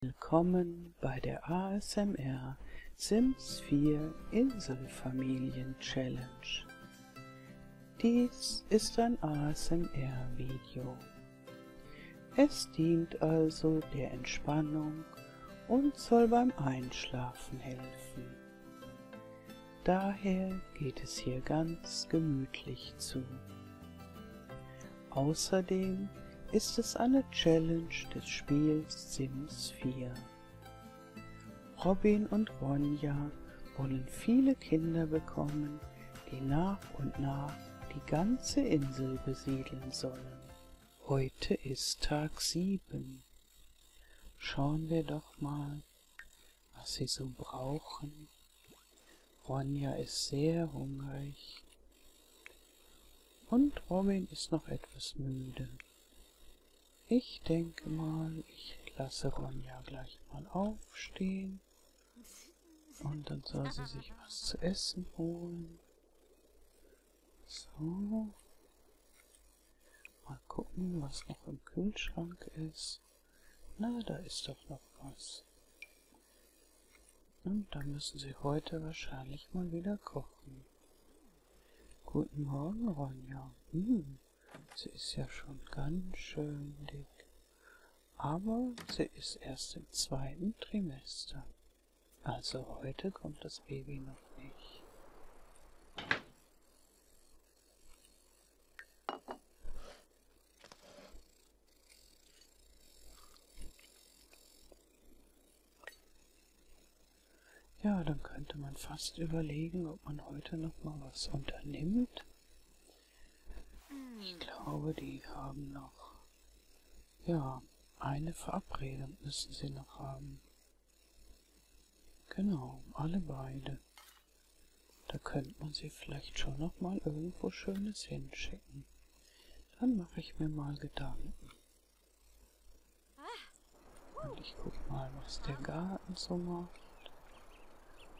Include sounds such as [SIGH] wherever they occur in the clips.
Willkommen bei der ASMR Sims 4 Inselfamilien Challenge. Dies ist ein ASMR-Video. Es dient also der Entspannung und soll beim Einschlafen helfen. Daher geht es hier ganz gemütlich zu. Außerdem ist es eine Challenge des Spiels Sims 4. Robin und Ronja wollen viele Kinder bekommen, die nach und nach die ganze Insel besiedeln sollen. Heute ist Tag 7. Schauen wir doch mal, was sie so brauchen. Ronja ist sehr hungrig. Und Robin ist noch etwas müde. Ich denke mal, ich lasse Ronja gleich mal aufstehen. Und dann soll sie sich was zu essen holen. So. Mal gucken, was noch im Kühlschrank ist. Na, da ist doch noch was. Und dann müssen sie heute wahrscheinlich mal wieder kochen. Guten Morgen, Ronja. Hm, sie ist ja schon ganz schön dick. Aber sie ist erst im zweiten Trimester. Also heute kommt das Baby noch nicht. Ja, dann könnte man fast überlegen, ob man heute noch mal was unternimmt. Ich glaube, die haben noch, ja, eine Verabredung müssen sie noch haben. Genau, alle beide. Da könnte man sie vielleicht schon noch mal irgendwo Schönes hinschicken. Dann mache ich mir mal Gedanken. Ich guck mal, was der Garten so macht.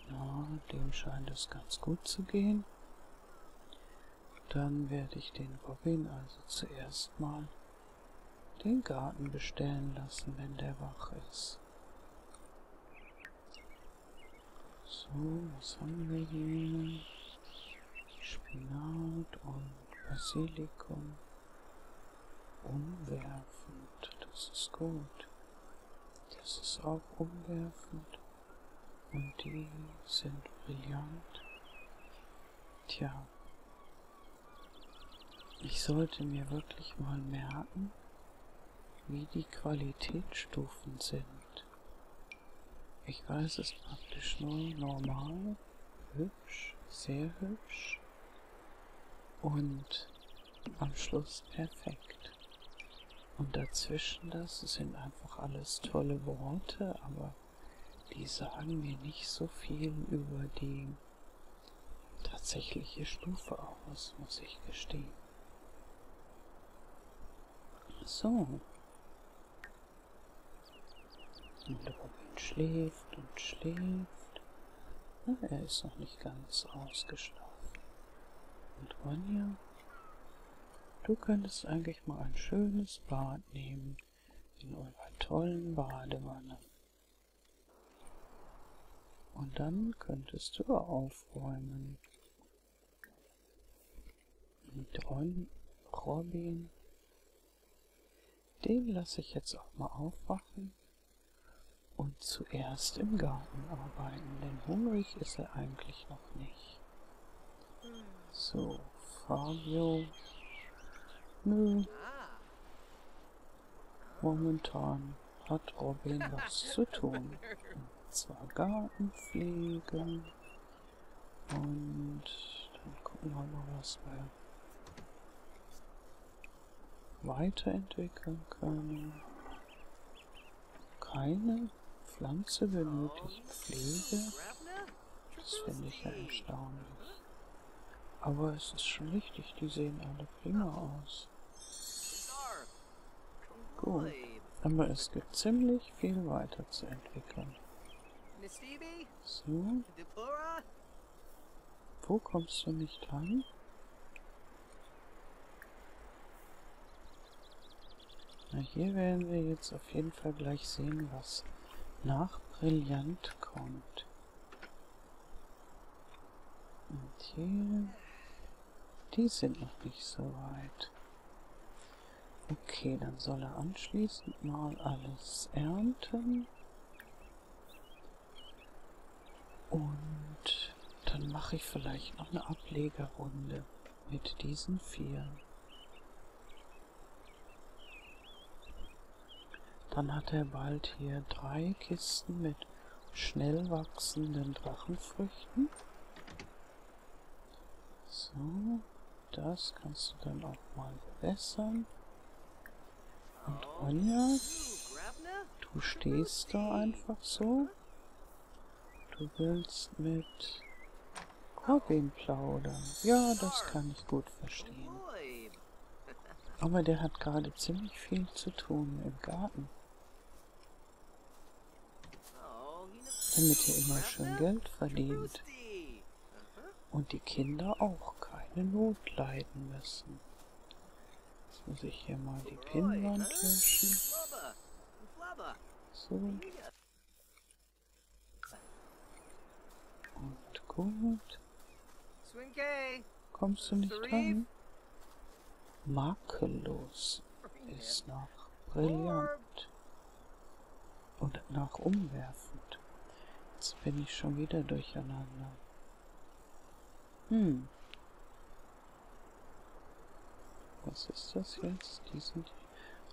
Ja, dem scheint es ganz gut zu gehen. Dann werde ich den Robin also zuerst mal den Garten bestellen lassen, wenn der wach ist. So, was haben wir hier? Spinat und Basilikum umwerfend. Das ist gut. Das ist auch umwerfend. Und die sind brillant. Tja. Ich sollte mir wirklich mal merken, wie die Qualitätsstufen sind. Ich weiß es praktisch nur normal, hübsch, sehr hübsch und am Schluss perfekt. Und dazwischen das sind einfach alles tolle Worte, aber die sagen mir nicht so viel über die tatsächliche Stufe aus, muss ich gestehen. So, und der Robin schläft und schläft. Na, ah, er ist noch nicht ganz ausgeschlafen. Und Ronja, du könntest eigentlich mal ein schönes Bad nehmen in eurer tollen Badewanne. Und dann könntest du aufräumen mit Ron, Robin. Den lasse ich jetzt auch mal aufwachen und zuerst im Garten arbeiten, denn hungrig ist er eigentlich noch nicht. So, Fabio. Nö. Momentan hat Robin was zu tun. Und zwar Gartenpflege. Und dann gucken wir mal, was wir weiterentwickeln können. Keine Pflanze benötigt Pflege. Das finde ich ja erstaunlich. Aber es ist schon richtig, die sehen alle prima aus. Gut, aber es gibt ziemlich viel weiterzuentwickeln. Miss Phoebe? So. Wo kommst du nicht an? Na, hier werden wir jetzt auf jeden Fall gleich sehen, was nach Brillant kommt. Und hier... Die sind noch nicht so weit. Okay, dann soll er anschließend mal alles ernten. Und dann mache ich vielleicht noch eine Ablegerrunde mit diesen vier. Dann hat er bald hier drei Kisten mit schnell wachsenden Drachenfrüchten. So, das kannst du dann auch mal bewässern. Und Ronja, du stehst da einfach so. Du willst mit Corbin plaudern. Ja, das kann ich gut verstehen. Aber der hat gerade ziemlich viel zu tun im Garten. Damit er immer schön Geld verdient und die Kinder auch keine Not leiden müssen. Jetzt muss ich hier mal die Pinnwand löschen. So. Und gut. Kommst du nicht dran? Makellos ist noch brillant und danach umwerfend. Jetzt bin ich schon wieder durcheinander. Hm. Was ist das jetzt? Die sind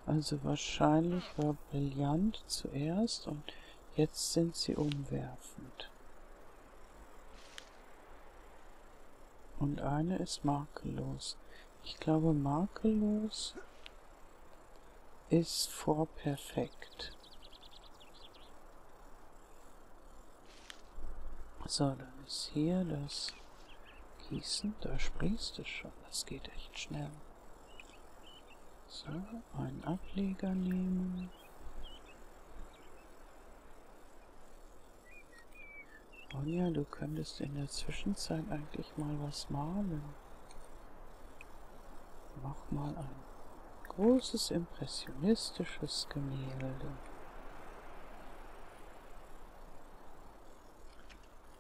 also wahrscheinlich war brillant zuerst und jetzt sind sie umwerfend. Und eine ist makellos. Ich glaube, makellos ist vor perfekt. So, dann ist hier das Gießen. Da sprießt es schon. Das geht echt schnell. So, einen Ableger nehmen. Ronja, du könntest in der Zwischenzeit eigentlich endlich mal was malen. Mach mal ein großes impressionistisches Gemälde.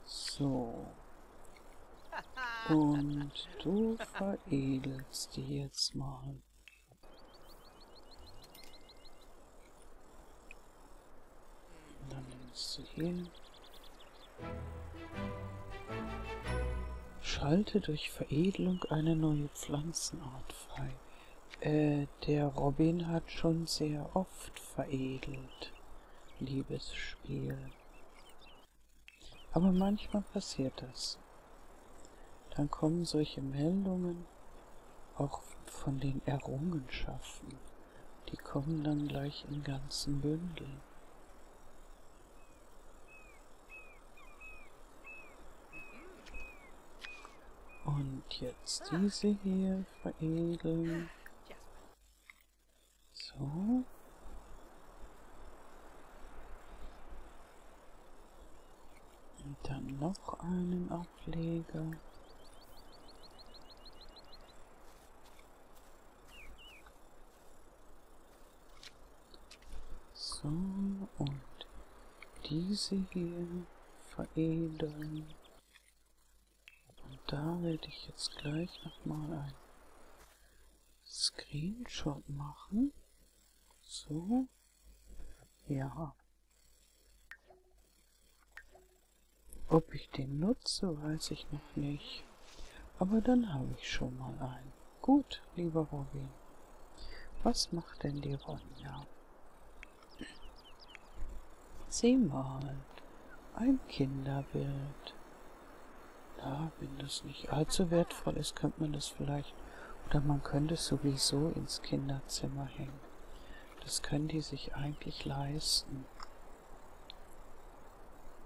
So. Und du veredelst die jetzt mal. Und dann nimmst du hier Schalte durch Veredelung eine neue Pflanzenart frei. Äh, der Robin hat schon sehr oft veredelt, liebes Spiel. Aber manchmal passiert das. Dann kommen solche Meldungen auch von den Errungenschaften. Die kommen dann gleich in ganzen Bündeln. Und jetzt diese hier veredeln. So. Und dann noch einen Ableger. So, und diese hier veredeln. Und da werde ich jetzt gleich nochmal ein Screenshot machen. So. Ja. Ob ich den nutze, weiß ich noch nicht. Aber dann habe ich schon mal einen. Gut, lieber Robin. Was macht denn die Ronja? Sie malt ein Kinderbild. Na, wenn das nicht allzu wertvoll ist, könnte man das vielleicht, oder man könnte es sowieso ins Kinderzimmer hängen. Das können die sich eigentlich leisten.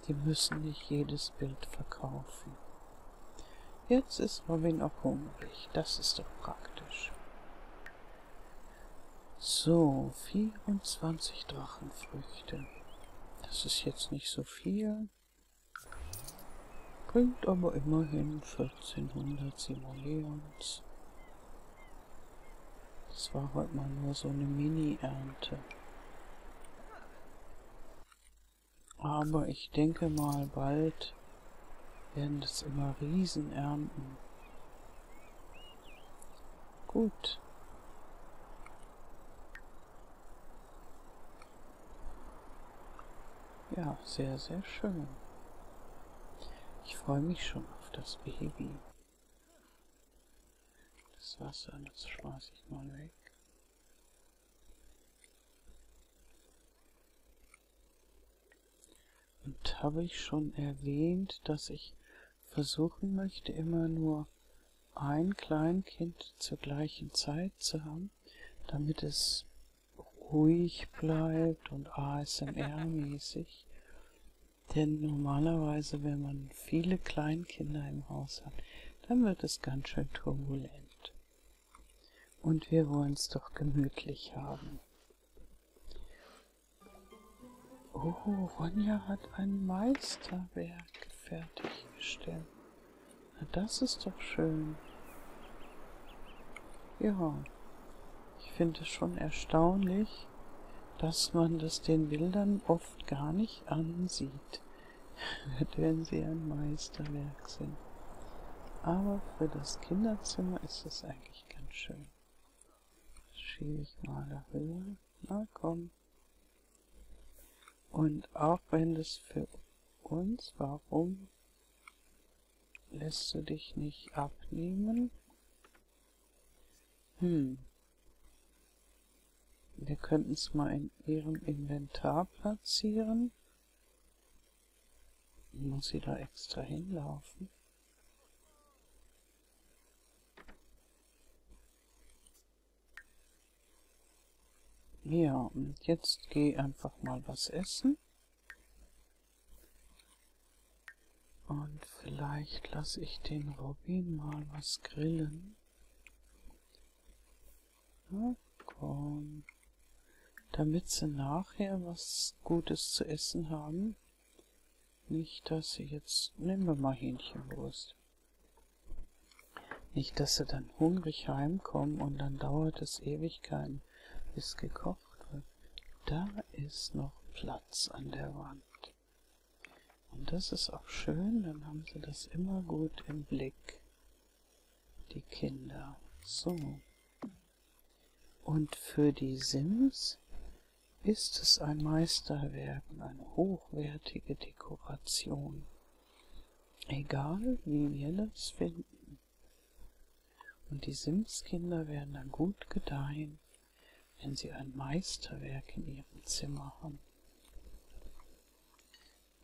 Die müssen nicht jedes Bild verkaufen. Jetzt ist Robin auch hungrig. Das ist doch praktisch. So, 24 Drachenfrüchte. Das ist jetzt nicht so viel. Bringt aber immerhin 1400 Simoleons. Das war heute mal nur so eine Mini-Ernte. Aber ich denke mal, bald werden das immer Riesenernten. Gut. Ja, sehr, sehr schön. Ich freue mich schon auf das Baby. Das Wasser, das schmeiße ich mal weg. Und habe ich schon erwähnt, dass ich versuchen möchte, immer nur ein Kleinkind zur gleichen Zeit zu haben, damit es ruhig bleibt und ASMR-mäßig. Denn normalerweise, wenn man viele Kleinkinder im Haus hat, dann wird es ganz schön turbulent. Und wir wollen es doch gemütlich haben. Oh, Ronja hat ein Meisterwerk fertiggestellt. Na, das ist doch schön. Ja, ich finde es schon erstaunlich, dass man das den Bildern oft gar nicht ansieht wenn sie ein Meisterwerk sind. Aber für das Kinderzimmer ist es eigentlich ganz schön. Das schiebe ich mal darüber. Na komm. Und auch wenn das für uns, warum lässt du dich nicht abnehmen? Hm. Wir könnten es mal in ihrem Inventar platzieren. Muss sie da extra hinlaufen? Ja, und jetzt geh einfach mal was essen. Und vielleicht lasse ich den Robin mal was grillen. Na komm. Damit sie nachher was Gutes zu essen haben. Nicht, dass sie jetzt... Nehmen wir mal Hähnchenwurst. Nicht, dass sie dann hungrig heimkommen und dann dauert es Ewigkeiten, bis gekocht wird. Da ist noch Platz an der Wand. Und das ist auch schön, dann haben sie das immer gut im Blick, die Kinder. So. Und für die Sims ist es ein Meisterwerk und eine hochwertige Dekoration. Egal, wie wir das finden. Und die Sims-Kinder werden dann gut gedeihen, wenn sie ein Meisterwerk in ihrem Zimmer haben.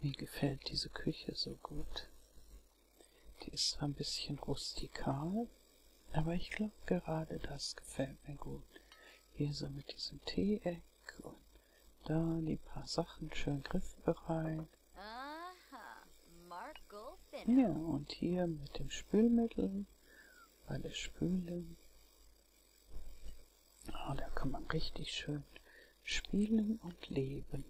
Mir gefällt diese Küche so gut. Die ist zwar ein bisschen rustikal, aber ich glaube gerade das gefällt mir gut. Hier so mit diesem Teeeck und da die paar Sachen schön griffbereit. Ja, und hier mit dem Spülmittel, bei der Spüle Oh, da kann man richtig schön spielen und leben.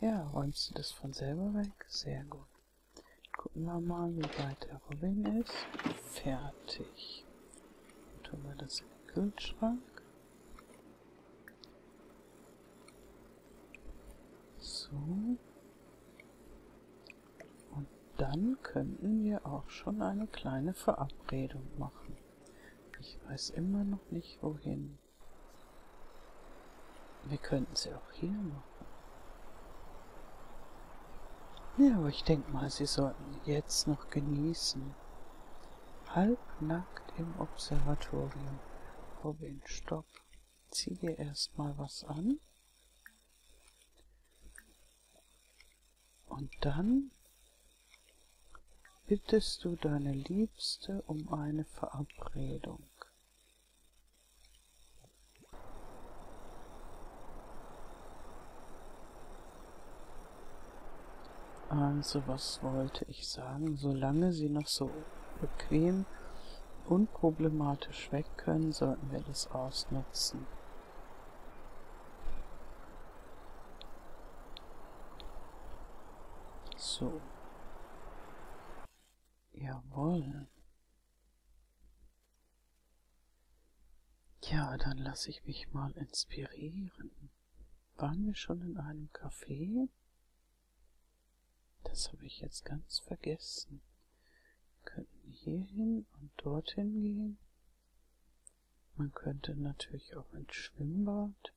Ja, räumst du das von selber weg? Sehr gut. Gucken wir mal, wie weit der Robin ist. Fertig. Dann tun wir das in den Kühlschrank. So. Und dann könnten wir auch schon eine kleine Verabredung machen. Ich weiß immer noch nicht, wohin. Wir könnten sie auch hier machen. Ja, aber ich denke mal, sie sollten jetzt noch genießen. Halbnackt im Observatorium. Robin, stopp. Zieh dir erstmal was an. Und dann bittest du deine Liebste um eine Verabredung. Also was wollte ich sagen? Solange sie noch so bequem unproblematisch weg können, sollten wir das ausnutzen. So. Jawohl. Ja, dann lasse ich mich mal inspirieren. Waren wir schon in einem Café? Das habe ich jetzt ganz vergessen. Wir könnten hierhin und dorthin gehen. Man könnte natürlich auch ins Schwimmbad.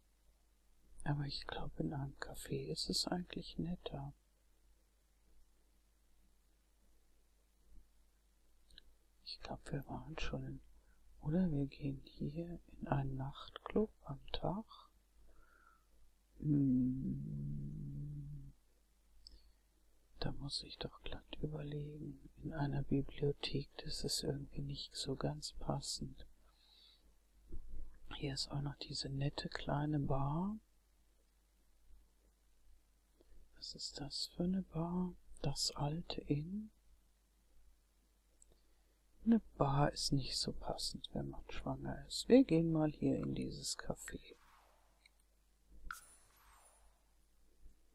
Aber ich glaube, in einem Café ist es eigentlich netter. Ich glaube, wir waren schon in. Oder wir gehen hier in einen Nachtclub am Tag. Hm. Da muss ich doch glatt überlegen. In einer Bibliothek, das ist irgendwie nicht so ganz passend. Hier ist auch noch diese nette kleine Bar. Was ist das für eine Bar? Das alte Inn? Eine Bar ist nicht so passend, wenn man schwanger ist. Wir gehen mal hier in dieses Café.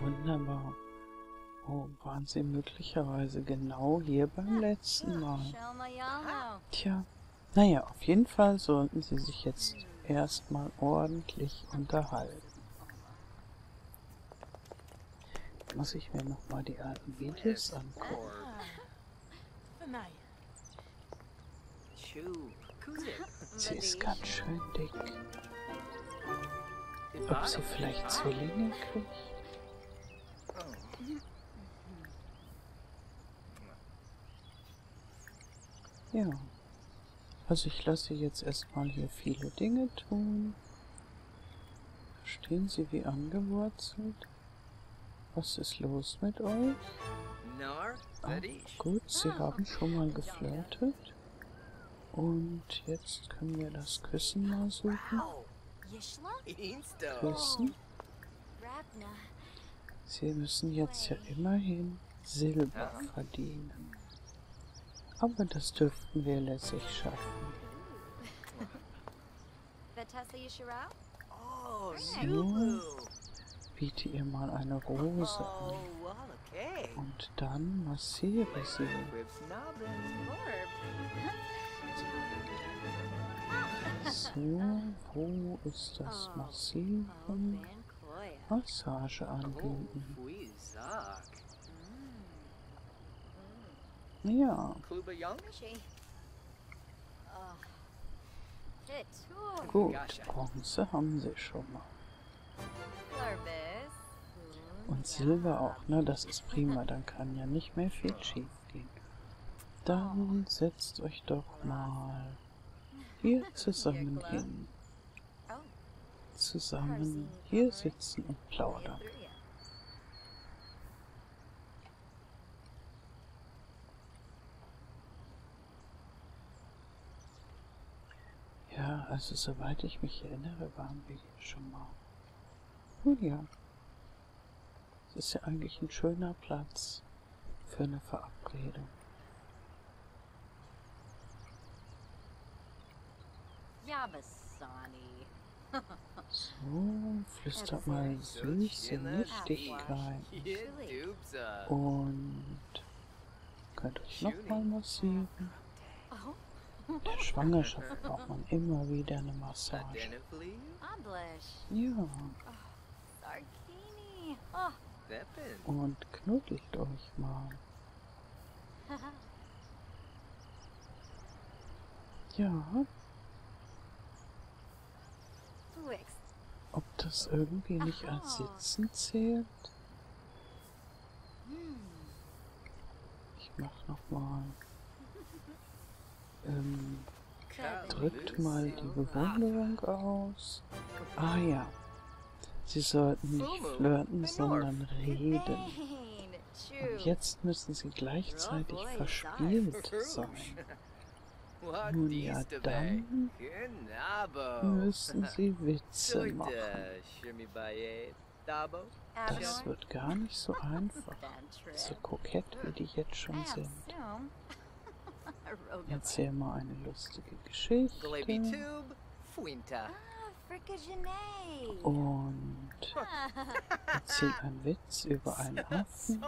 Wunderbar. Oh, waren sie möglicherweise genau hier beim letzten Mal? Tja, naja, auf jeden Fall sollten sie sich jetzt erstmal ordentlich unterhalten. Muss ich mir nochmal die alten Videos angucken. Ah, Sie ist ganz schön dick. Ob sie vielleicht Zwillinge kriegt? Ja. Also ich lasse jetzt erstmal hier viele Dinge tun. Stehen sie wie angewurzelt? Was ist los mit euch? Nar Ah, gut, sie ah, haben schon mal geflirtet. Und jetzt können wir das Küssen mal suchen. Küssen. Sie müssen jetzt ja immerhin Silber verdienen. Aber das dürften wir lässig schaffen. So, [LAUGHS] oh, biete ihr mal eine Rose an. Oh, und dann massiere sie. So, wo ist das oh, Massieren? Oh, Massage oh, anbieten. Mm. Ja. Gut, Bronze haben sie schon mal. Und Silber auch, ne? Das ist prima, dann kann ja nicht mehr viel schief gehen. Dann setzt euch doch mal hier zusammen hin. Zusammen hier sitzen und plaudern. Ja, also soweit ich mich erinnere, waren wir hier schon mal. Nun ja, es ist ja eigentlich ein schöner Platz für eine Verabredung. So, flüstert mal süße Nichtigkeit. Ah, Und könnte es nochmal massieren. Der Schwangerschaft braucht man immer wieder eine Massage. Ja. Und knuddelt euch mal. Ja. Ob das irgendwie nicht als Sitzen zählt? Ich mach nochmal. Ähm, drückt mal die Bewunderung aus. Ah ja. Sie sollten nicht flirten, sondern reden. Und jetzt müssen sie gleichzeitig verspielt sein. Nun ja, dann müssen sie [LAUGHS] wissen. 13 machen. Das wird gar nicht so einfach. So kokett, wie die jetzt schon sind. [LAUGHS] Erzähl mal eine lustige Geschichte. Ah, Und ah. [LAUGHS] erzähl einen Witz über einen [LAUGHS] Affen.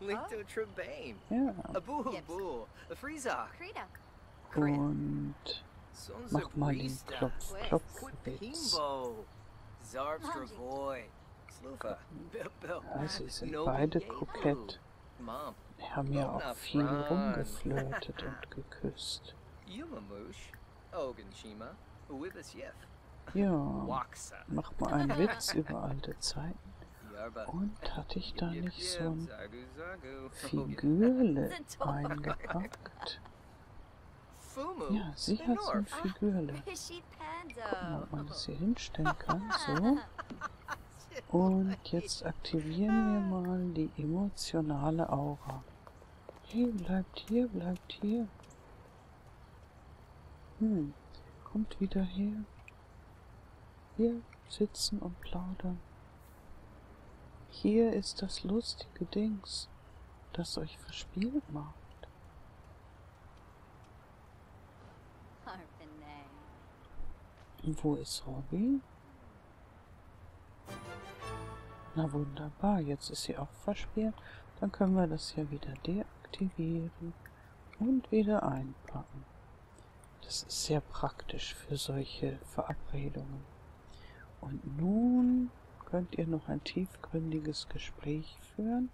Oh. Ja. Und mach mal den Klopf, Klopf jetzt. Also sind beide kokett. Wir haben ja auch viel rumgeflirtet und [LAUGHS] geküsst. Ja, mach mal einen [LAUGHS] Witz über alte Zeiten. Und hatte ich da nicht so ein Figürle [LAUGHS] eingepackt? Ja, sie hat so ein Figürle. Ah, Guck mal, ob man das hier oh. hinstellen kann. [LAUGHS] So. Und jetzt aktivieren wir mal die emotionale Aura. Hey, bleibt hier, bleibt hier. Hm, kommt wieder her. Hier sitzen und plaudern. Hier ist das lustige Dings, das euch verspielt macht. Und wo ist Robby? Na wunderbar, jetzt ist sie auch verspielt. Dann können wir das hier wieder deaktivieren und wieder einpacken. Das ist sehr praktisch für solche Verabredungen. Und nun könnt ihr noch ein tiefgründiges Gespräch führen.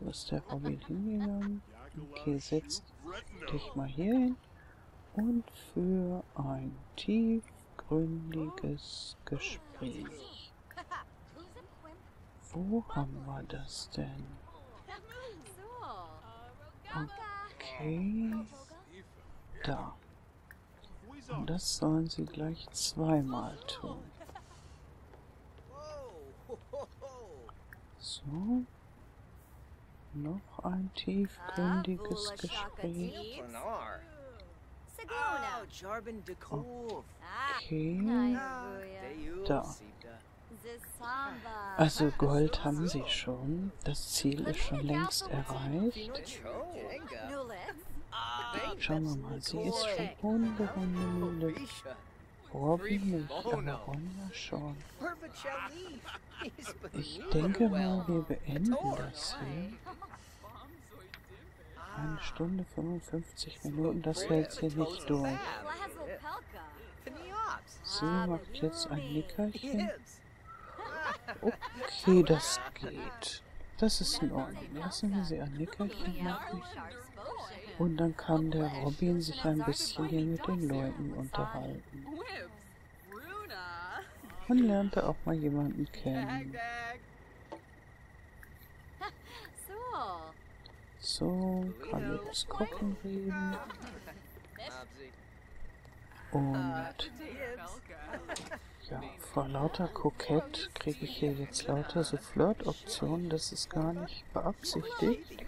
Wo ist der Robin hingegangen? Okay, setz dich mal hier hin. Und für ein tiefgründiges Gespräch. Wo haben wir das denn? Okay. Da. Und das sollen sie gleich zweimal tun. So. Noch ein tiefgründiges ah, Gespräch. Oh, okay. Ah. Da. Also Gold haben sie schon. Das Ziel ist schon längst erreicht. Schauen wir mal, sie ist schon ohne Runde müde. Robin nicht, aber Ronja schon. Ich denke mal, wir beenden das hier. Eine Stunde 55 Minuten, das hält sie nicht durch. Sie macht jetzt ein Nickerchen. Okay, das geht. Das ist in Ordnung. Lassen wir sie ein Nickerchen machen. Und dann kann der Robin sich ein bisschen hier mit den Leuten unterhalten. Man lernte auch mal jemanden kennen. So, kann jetzt kochen reden. Und ja, vor lauter Kokett kriege ich hier jetzt lauter so Flirt-Optionen. Das ist gar nicht beabsichtigt.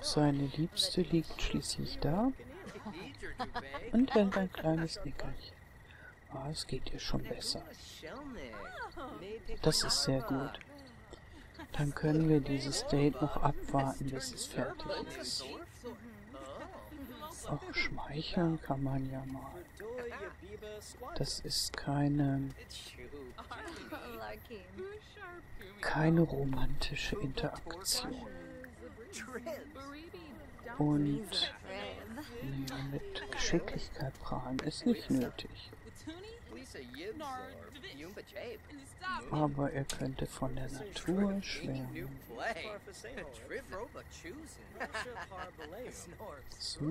Seine Liebste liegt schließlich da und hält ein kleines Nickerchen. Ah, es geht ihr schon besser. Das ist sehr gut. Dann können wir dieses Date noch abwarten, bis es fertig ist. Auch schmeicheln kann man ja mal. Das ist keine... keine romantische Interaktion. Und nee, mit Geschicklichkeit prahlen ist nicht nötig. Aber er könnte von der Natur schwärmen. So,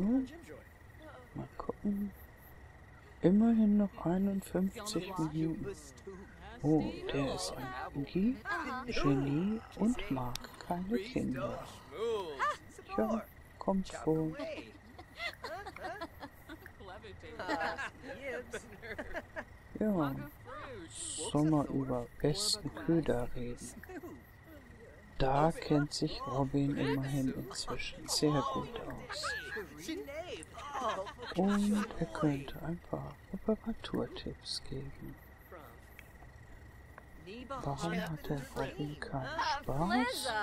mal gucken. Immerhin noch 51 Minuten. Oh, der ist ein Genie, Genie und mag keine Kinder. Ja, kommt vor. Ja, Sommer über besten Köder reden. Da kennt sich Robin immerhin inzwischen sehr gut aus. Und er könnte ein paar Reparaturtipps geben. Warum hat der Robin keinen Spaß?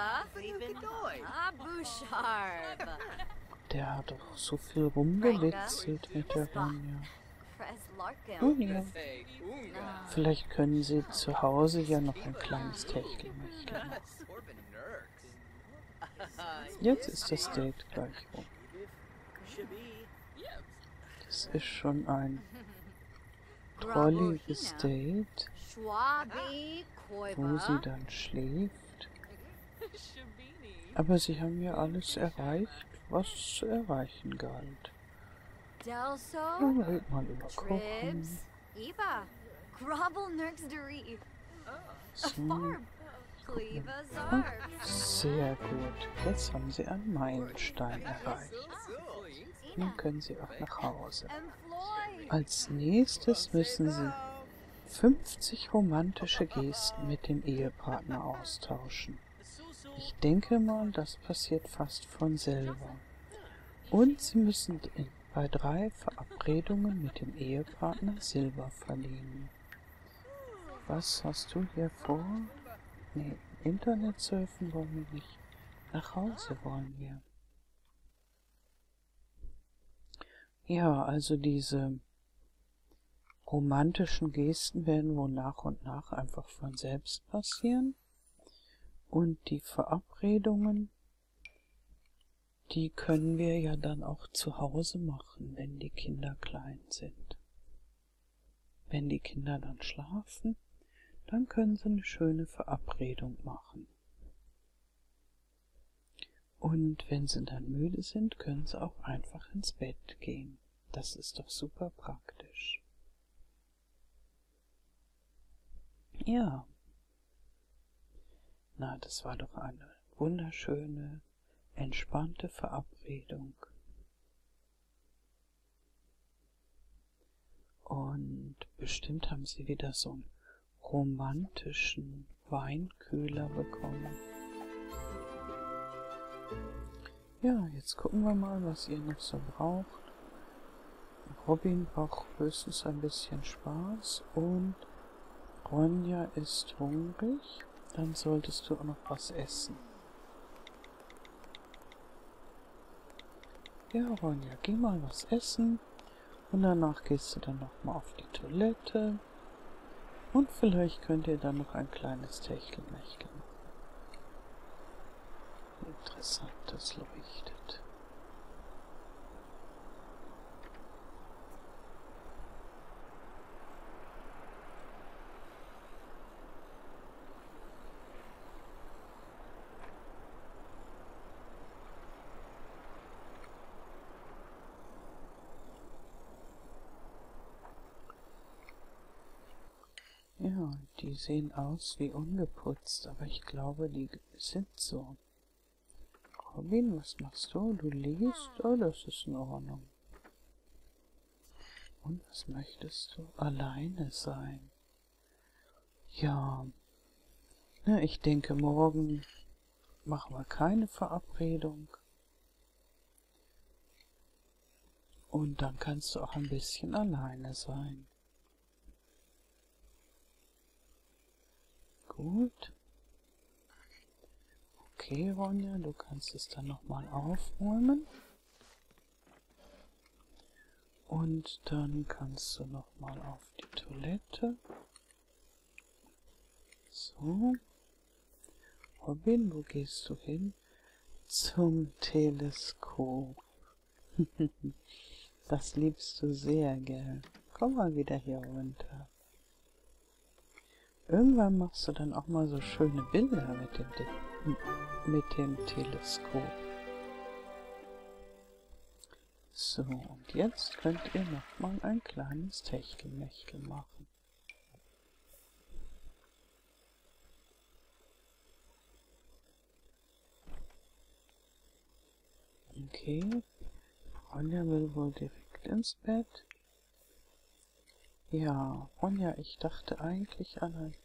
Der hat doch so viel rumgewitzelt mit der Ronja. Hm, Ronja. Vielleicht können sie zu Hause ja noch ein kleines Techtelmechtel machen. Jetzt ist das Date gleich rum. Das ist schon ein trolliges Date, wo sie dann schläft. [LAUGHS] Aber sie haben ja alles erreicht, was zu erreichen galt. Delso, Dann red mal über Kochen. Eva, Grovel Nurks Deriv. Farb. Sehr gut. Jetzt haben sie einen Meilenstein erreicht. Nun können sie auch nach Hause. Als nächstes müssen sie 50 romantische Gesten mit dem Ehepartner austauschen. Ich denke mal, das passiert fast von selber. Und Sie müssen bei drei Verabredungen mit dem Ehepartner Silber verliehen. Was hast du hier vor? Nee, Internet surfen wollen wir nicht. Nach Hause wollen wir. Ja, also diese romantischen Gesten werden wohl nach und nach einfach von selbst passieren. Und die Verabredungen, die können wir ja dann auch zu Hause machen, wenn die Kinder klein sind. Wenn die Kinder dann schlafen, dann können sie eine schöne Verabredung machen. Und wenn sie dann müde sind, können sie auch einfach ins Bett gehen. Das ist doch super praktisch. Ja. Na, das war doch eine wunderschöne, entspannte Verabredung. Und bestimmt haben sie wieder so ein romantischen Weinkühler bekommen. Ja, jetzt gucken wir mal, was ihr noch so braucht. Robin braucht höchstens ein bisschen Spaß und Ronja ist hungrig. Dann solltest du auch noch was essen. Ja, Ronja, geh mal was essen. Und danach gehst du dann nochmal auf die Toilette. Und vielleicht könnt ihr dann noch ein kleines Techtelmechtel machen. Interessant, das leuchtet. Ja, die sehen aus wie ungeputzt, aber ich glaube, die sind so. Robin, was machst du? Du liest? Oh, das ist in Ordnung. Und was möchtest du? Alleine sein. Ja. Na, ich denke, morgen machen wir keine Verabredung. Und dann kannst du auch ein bisschen alleine sein. Gut. Okay, Ronja, du kannst es dann nochmal aufräumen. Und dann kannst du nochmal auf die Toilette. So. Robin, wo gehst du hin? Zum Teleskop. [LAUGHS] das liebst du sehr, gell? Komm mal wieder hier runter. Irgendwann machst du dann auch mal so schöne Bilder mit dem, mit dem Teleskop. So, und jetzt könnt ihr nochmal ein kleines Techtelmechtel machen machen. Okay. Ronja will wohl direkt ins Bett. Ja, Ronja, ich dachte eigentlich an ein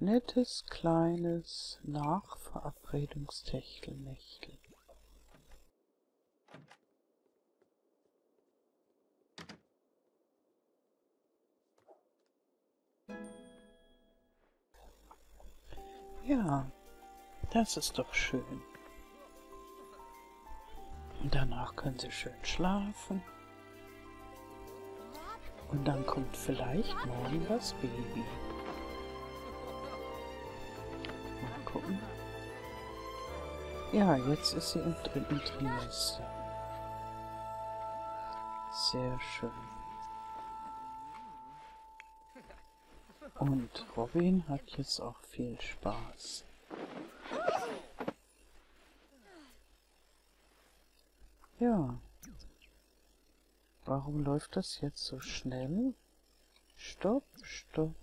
nettes, kleines Nachverabredungstechtelnächtel. Ja, das ist doch schön. Und danach können sie schön schlafen. Und dann kommt vielleicht morgen das Baby. Mal gucken. Ja, jetzt ist sie im dritten Trimester. Sehr schön. Und Robin hat jetzt auch viel Spaß. Ja. Warum läuft das jetzt so schnell? Stopp, stopp.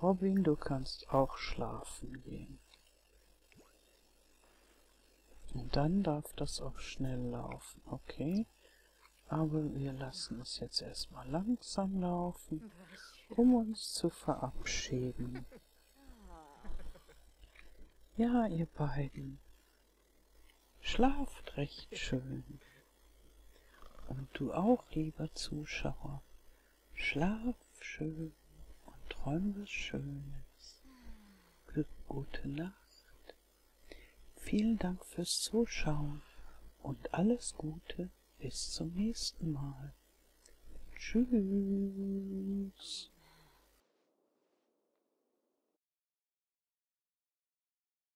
Robin, du kannst auch schlafen gehen. Und dann darf das auch schnell laufen, okay? Aber wir lassen es jetzt erstmal langsam laufen, um uns zu verabschieden. Ja, ihr beiden, schlaft recht schön. Und du auch, lieber Zuschauer, schlaf schön und träum was Schönes. Gute Nacht. Vielen Dank fürs Zuschauen und alles Gute bis zum nächsten Mal. Tschüss.